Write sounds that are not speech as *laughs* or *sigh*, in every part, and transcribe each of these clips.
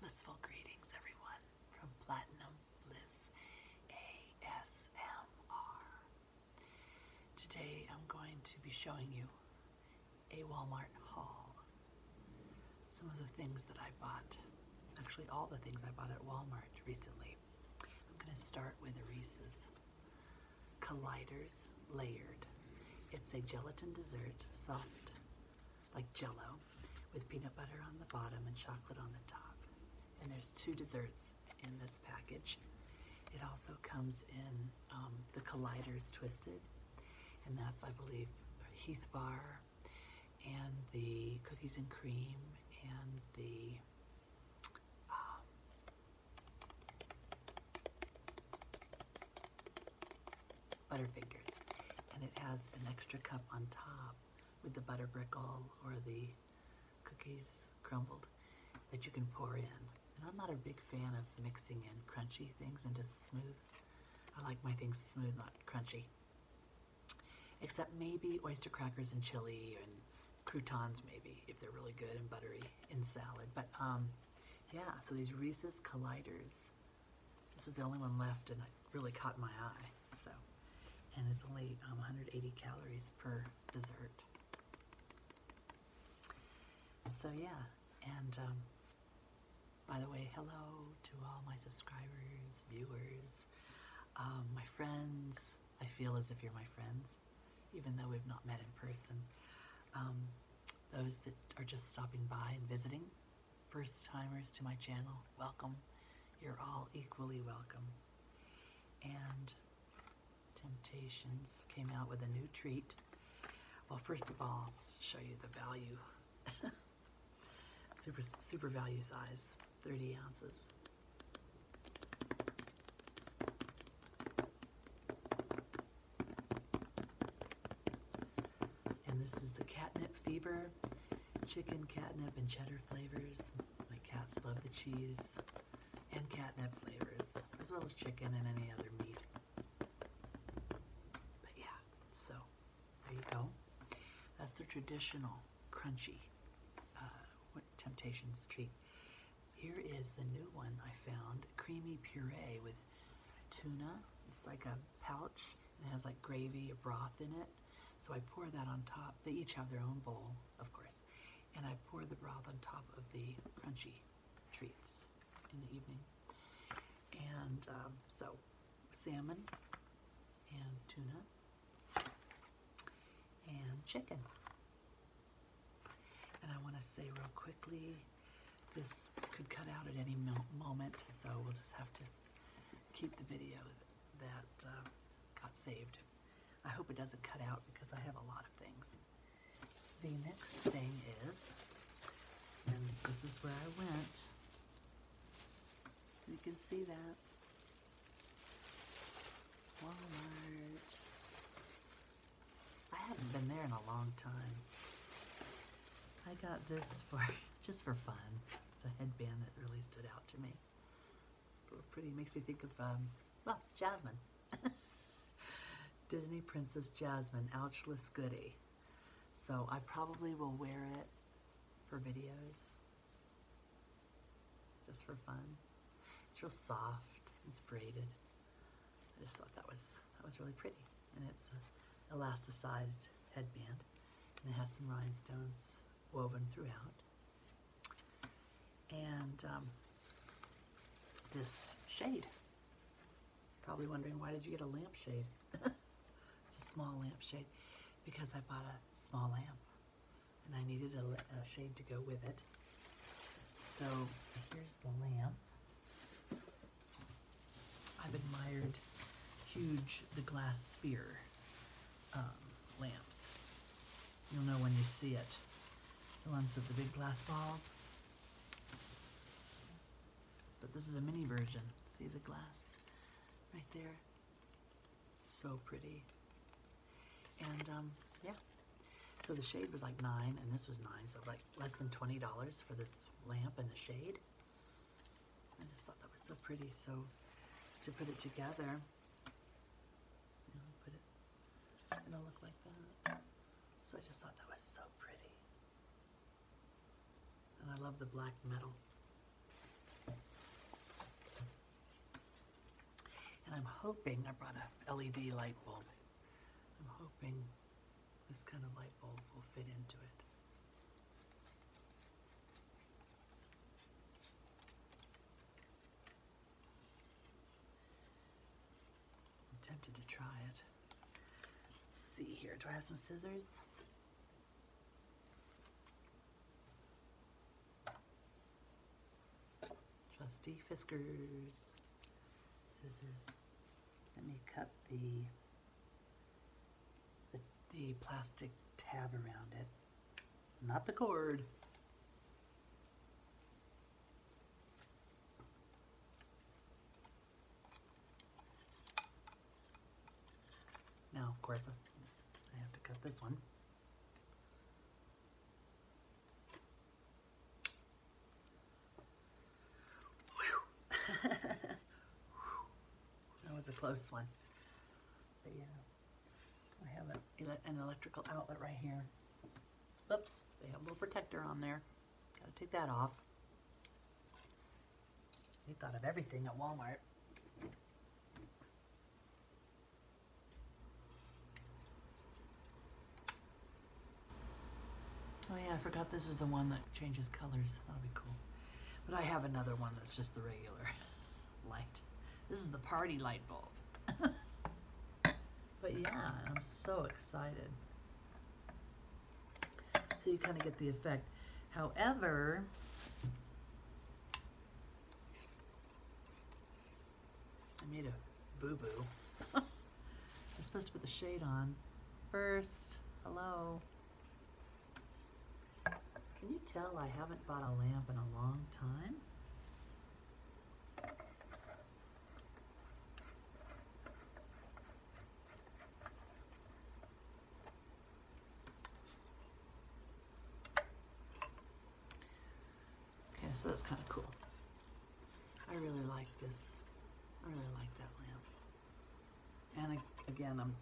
Blissful greetings, everyone, from Platinum Bliss ASMR. Today I'm going to be showing you a Walmart haul. Some of the things that I bought, actually, all the things I bought at Walmart recently. I'm going to start with Reese's Colliders Layered. It's a gelatin dessert, soft like jello, with peanut butter on the bottom and chocolate on the top. And there's two desserts in this package. It also comes in um, the Colliders Twisted, and that's, I believe, Heath Bar, and the Cookies and Cream, and the um, Butterfingers. And it has an extra cup on top with the butter brickle or the cookies crumbled that you can pour in. And I'm not a big fan of mixing in crunchy things into smooth. I like my things smooth, not crunchy. Except maybe oyster crackers and chili and croutons maybe, if they're really good and buttery in salad. But um, yeah, so these Reese's Colliders this was the only one left and it really caught my eye. So, and it's only 180 um, calories per dessert. So yeah, and um, by the way, hello to all my subscribers, viewers, um, my friends. I feel as if you're my friends, even though we've not met in person. those that are just stopping by and visiting, first timers to my channel, welcome. You're all equally welcome. And Temptations came out with a new treat. Well, first of all, show you the value. *laughs* super, super value size, 30 ounces. And this is the catnip fever, chicken catnip and cheddar flavors. My cats love the cheese and catnip flavors, as well as chicken and any other meat. But yeah, so there you go. That's the traditional crunchy uh, Temptations treat. Here is the new one I found, creamy puree with tuna. It's like a pouch and it has like gravy or broth in it. So I pour that on top. They each have their own bowl, of course. And I pour the broth on top of the crunchy treats in the evening. And um, so salmon and tuna and chicken. And I want to say real quickly this could cut out at any moment, so we'll just have to keep the video that uh, got saved. I hope it doesn't cut out because I have a lot of things. The next thing is, and this is where I went. You can see that. Walmart. I haven't been there in a long time. I got this for *laughs* just for fun. It's a headband that really stood out to me. It's pretty. Makes me think of um, well, Jasmine, *laughs* Disney Princess Jasmine, Ouchless Goody. So I probably will wear it for videos, just for fun. It's real soft. It's braided. I just thought that was that was really pretty and it's an elasticized headband and it has some rhinestones woven throughout. And um, this shade. Probably wondering why did you get a lamp shade? *laughs* it's a small lamp shade because I bought a small lamp and I needed a shade to go with it. So here's the lamp. I've admired huge the glass sphere um, lamps. You'll know when you see it. The ones with the big glass balls. But this is a mini version. See the glass right there? So pretty. And um, yeah. So the shade was like nine and this was nine. So like less than $20 for this lamp and the shade. I just thought that was so pretty, so to put it together, put it, it'll look like that. So I just thought that was so pretty. And I love the black metal. And I'm hoping, I brought a LED light bulb. I'm hoping this kind of light bulb will fit into it. tempted to try it. see here, do I have some scissors? Trusty Fiskers scissors. Let me cut the the, plastic tab around it, not the cord. Now, of course, I have to cut this one that was a close one. yeah, I have an electrical outlet right here. Oops, they have a little protector on there. Gotta take that off. They thought of everything at Walmart. Oh yeah, I forgot this is the one that changes colors. That'll be cool. But I have another one that's just the regular *laughs* light. This is the party light bulb. *laughs* but yeah, I'm so excited. So you kind of get the effect. However, I made a boo-boo. *laughs* I'm supposed to put the shade on first. Hello. Can you tell I haven't bought a lamp in a long time? Okay, so that's kind of cool. I really like this. I really like that lamp. And again, I'm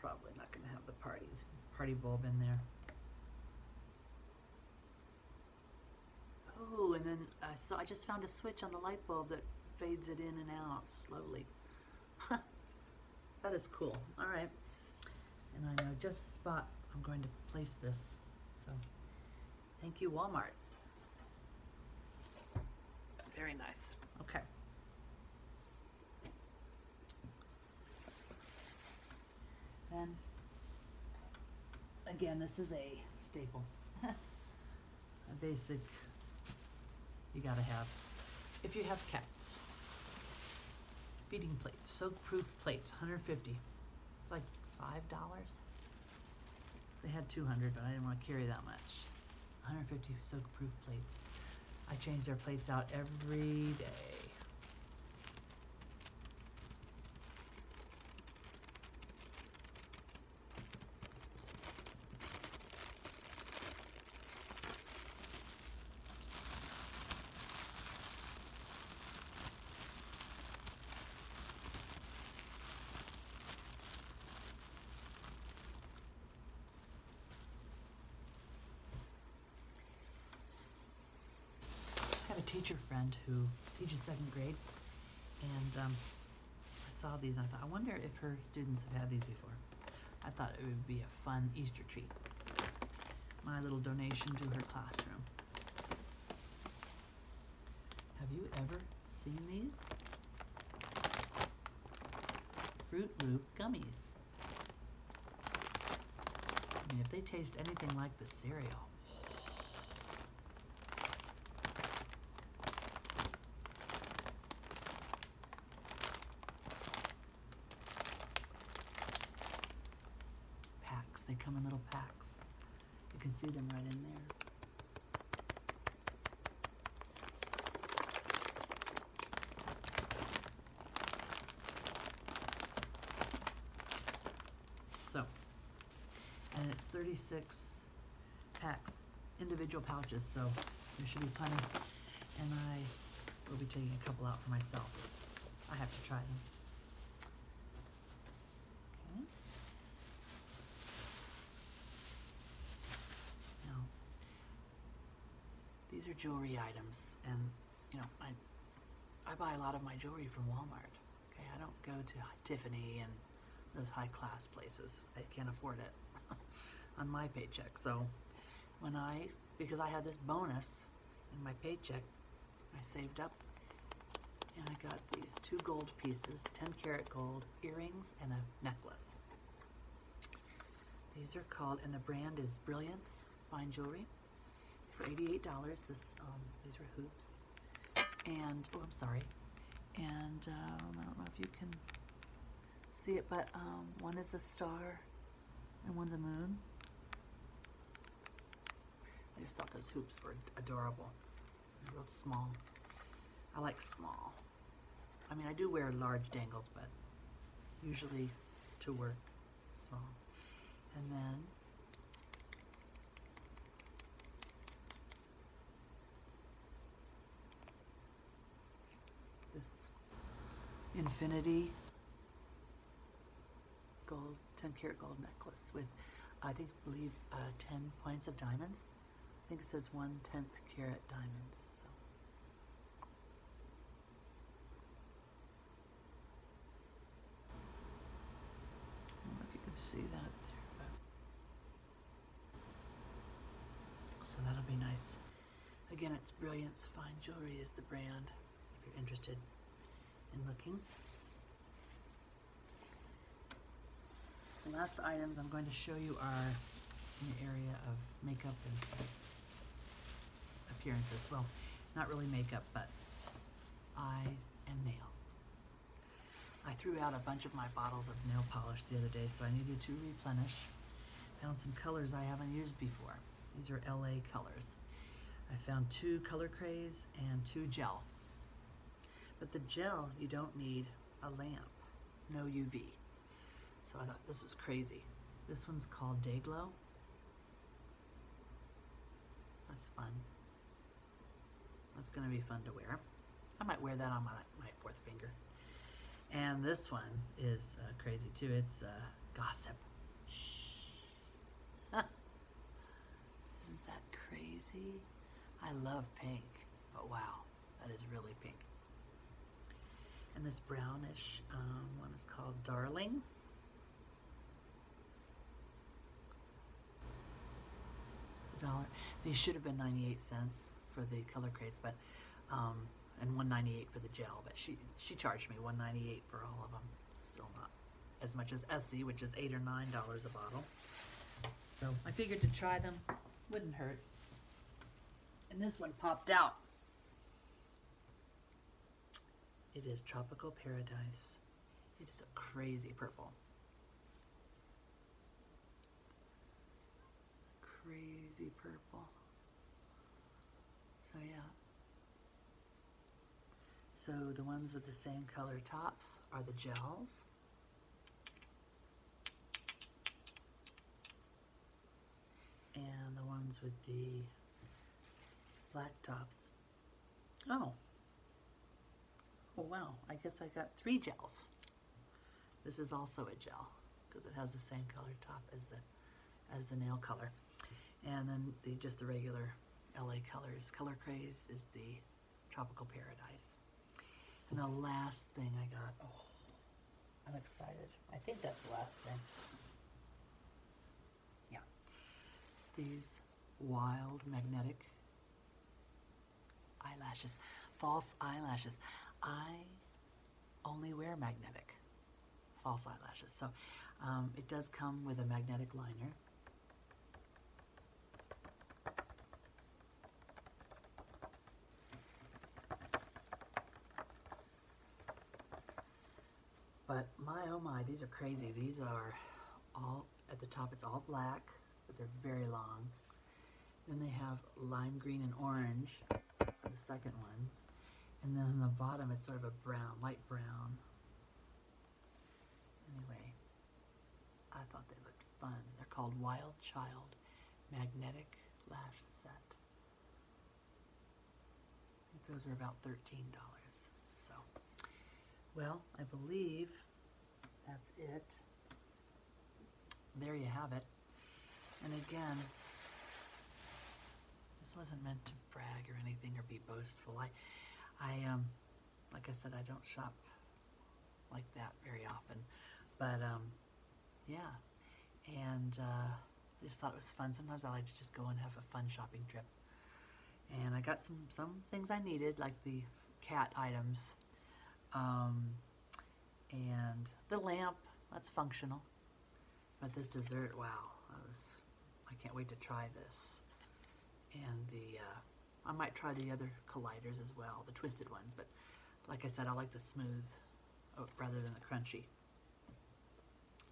probably not going to have the parties, party bulb in there. Oh, and then uh, so I just found a switch on the light bulb that fades it in and out slowly. that is cool. All right. And I know just the spot I'm going to place this. So thank you, Walmart. Very nice. Okay. And again, this is a staple. *laughs* a basic you gotta have. If you have cats, feeding plates, soak-proof plates, 150. It's like $5. They had 200, but I didn't want to carry that much. 150 soak-proof plates. I change their plates out every day. I have a teacher friend who teaches second grade, and um, I saw these and I thought, I wonder if her students have had these before. I thought it would be a fun Easter treat. My little donation to her classroom. Have you ever seen these? Fruit Loop gummies. if they taste anything like the cereal. Packs, they come in little packs. You can see them right in there. So, and it's 36 packs, individual pouches, so there should be plenty. And I will be taking a couple out for myself. I have to try them. These are jewelry items, and you know, I I buy a lot of my jewelry from Walmart. Okay, I don't go to Tiffany and those high class places. I can't afford it *laughs* on my paycheck. So when I because I had this bonus in my paycheck, I saved up and I got these two gold pieces, 10 karat gold earrings and a necklace. These are called, and the brand is Brilliance Fine Jewelry for $88. This, um, these are hoops. And, oh, I'm sorry. And um, I don't know if you can see it, but um, one is a star and one's a moon. I just thought those hoops were adorable. They're real small. I like small. I mean, I do wear large dangles, but usually to work small. And then this infinity gold, 10 karat gold necklace with, I think, believe uh, 10 points of diamonds. I think it says one tenth carat diamonds. So. if you can see that there, so that'll be nice. Again, it's Brilliance Fine Jewelry is the brand. If you're interested in looking. The last items I'm going to show you are in the area of makeup and appearances. Well, not really makeup, but eyes and nails. I threw out a bunch of my bottles of nail polish the other day, so I needed to replenish. Found some colors I haven't used before. These are LA colors. I found two Color Craze and two gel. But the gel, you don't need a lamp, no UV. So I thought this was crazy. This one's called Day Glow. That's fun. That's gonna be fun to wear. I might wear that on my, my fourth finger. And this one is uh, crazy too. It's uh, gossip. Huh. *laughs* Isn't that crazy? I love pink, but wow. That is really pink. And this brownish um, one is called Darling. dollar. These should have been 98 cents for the color craze, but um, and 198 for the gel, but she she charged me 198 for all of them. Still not as much as Essie, which is eight or nine dollars a bottle. So I figured to try them wouldn't hurt and this one popped out. It is Tropical Paradise. It is a crazy purple. Crazy purple. So yeah. So the ones with the same color tops are the gels and the ones with the black tops. Oh, oh wow, I guess I got three gels. This is also a gel because it has the same color top as the as the nail color. And then the just the regular LA colors. Color Craze is the Tropical Paradise. And the last thing I got, oh, I'm excited. I think that's the last thing. Yeah. These wild magnetic eyelashes, false eyelashes. I only wear magnetic false eyelashes. So um, it does come with a magnetic liner. But my oh my, these are crazy. These are all, at the top it's all black, they're very long. Then they have lime green and orange, for the second ones. And then on the bottom it's sort of a brown, light brown. Anyway, I thought they looked fun. They're called Wild Child Magnetic lash set. those are about $13. So, well, I believe that's it. There you have it. And again, this wasn't meant to brag or anything or be boastful. I, I, um, like I said, I don't shop like that very often, but, um, yeah. And uh, I just thought it was fun. Sometimes I like to just go and have a fun shopping trip. And I got some, some things I needed, like the cat items. Um, and the lamp, that's functional. But this dessert, wow, I was, I can't wait to try this. And the, uh, I might try the other colliders as well, the twisted ones, but like I said, I like the smooth uh, rather than the crunchy.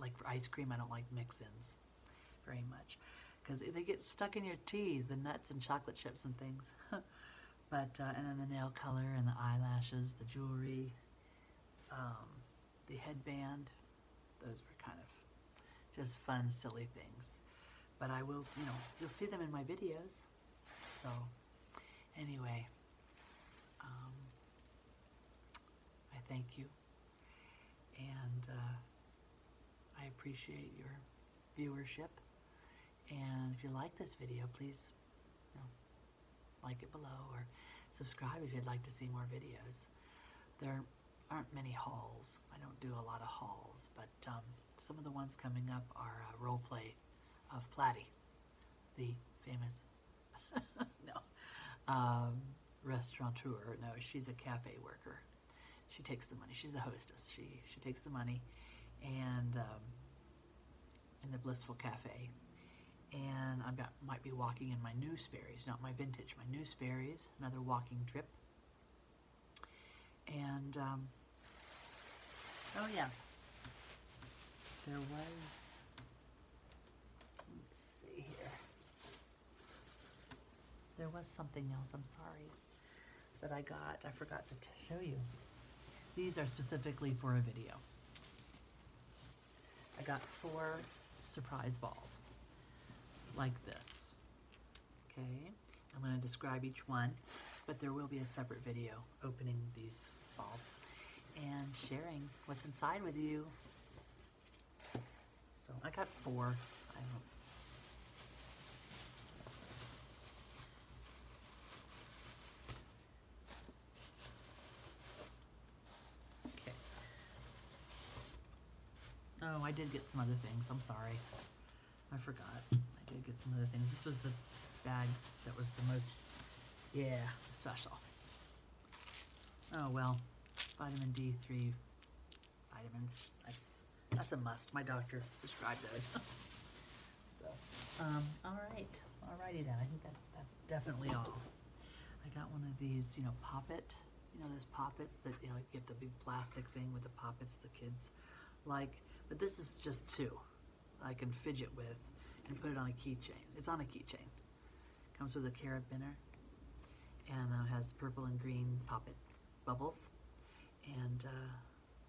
Like for ice cream, I don't like mix-ins very much because they get stuck in your teeth, the nuts and chocolate chips and things. *laughs* but uh, and then the nail color and the eyelashes, the jewelry, um, the headband. Those were kind of just fun, silly things. But I will, you know, you'll see them in my videos. So, anyway, um, I thank you, and uh, I appreciate your viewership. And if you like this video, please like it below or subscribe if you'd like to see more videos. There aren't many hauls. I don't do a lot of hauls, but um, some of the ones coming up are uh, role play of Platty the famous *laughs* no um, restaurateur. No, she's a cafe worker. She takes the money. She's the hostess. She she takes the money, and um, in the Blissful Cafe, and I might be walking in my new Sperry's, not my vintage, my new Sperry's. Another walking trip, and. Um, Oh yeah. There was, let's see here. There was something else, I'm sorry, that I got. I forgot to show you. These are specifically for a video. I got four surprise balls like this. Okay, I'm gonna describe each one, but there will be a separate video opening these balls and sharing what's inside with you. So I got four. Okay. Oh, I did get some other things. I'm sorry. I forgot. I did get some other things. This was the bag that was the most, yeah, special. Oh, well, vitamin D3 vitamins. That's, that's a must. My doctor prescribed those. *laughs* so, um, all right. All righty then. I think that, that's definitely all. I got one of these, you know, pop it. You know, those poppets that, you know, you get the big plastic thing with the poppets the kids like. But this is just two. I can fidget with and put it on a keychain. It's on a keychain. Comes with a carabiner and uh, has purple and green pop it bubbles and uh,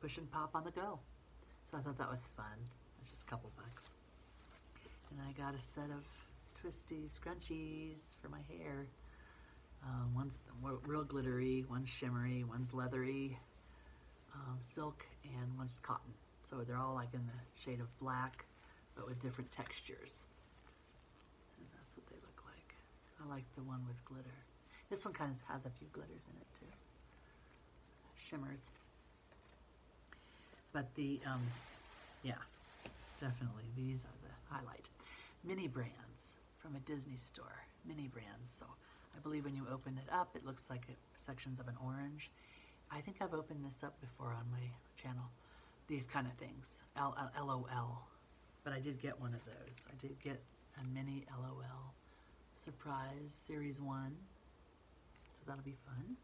push and pop on the go. So I thought that was fun. It's just a couple bucks. And I got a set of twisty scrunchies for my hair. Um, one's real glittery, one's shimmery, one's leathery, um, silk and one's cotton. So they're all like in the shade of black, but with different textures. And that's what they look like. I like the one with glitter. This one kind of has a few glitters in it too. Shimmers. But the, um, yeah, definitely these are the highlight. Mini brands from a Disney store. Mini brands. So I believe when you open it up, it looks like it sections of an orange. I think I've opened this up before on my channel. These kind of things, L LOL. But I did get one of those. I did get a mini LOL surprise series one. So that'll be fun.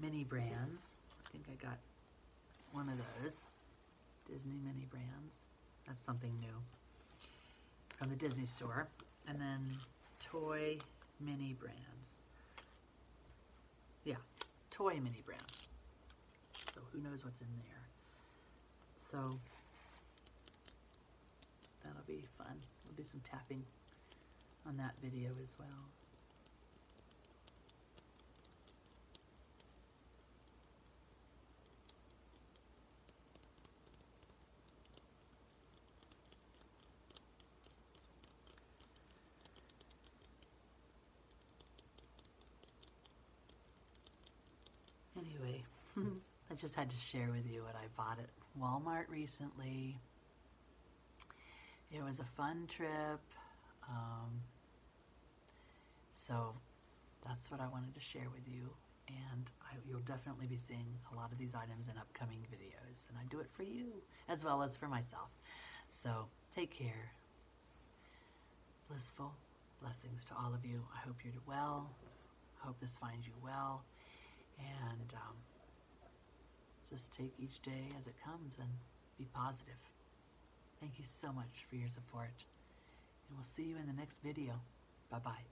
Mini brands. I think I got one of those. Disney mini brands. That's something new from the Disney store. And then toy mini brands. Yeah, toy mini brands. So who knows what's in there. So that'll be fun. We'll do some tapping on that video as well. Anyway, *laughs* I just had to share with you what I bought at Walmart recently. It was a fun trip. Um, so that's what I wanted to share with you and you'll definitely be seeing a lot of these items in upcoming videos and I do it for you as well as for myself so take care blissful blessings to all of you I hope you do well I hope this finds you well and um, just take each day as it comes and be positive thank you so much for your support and we'll see you in the next video bye bye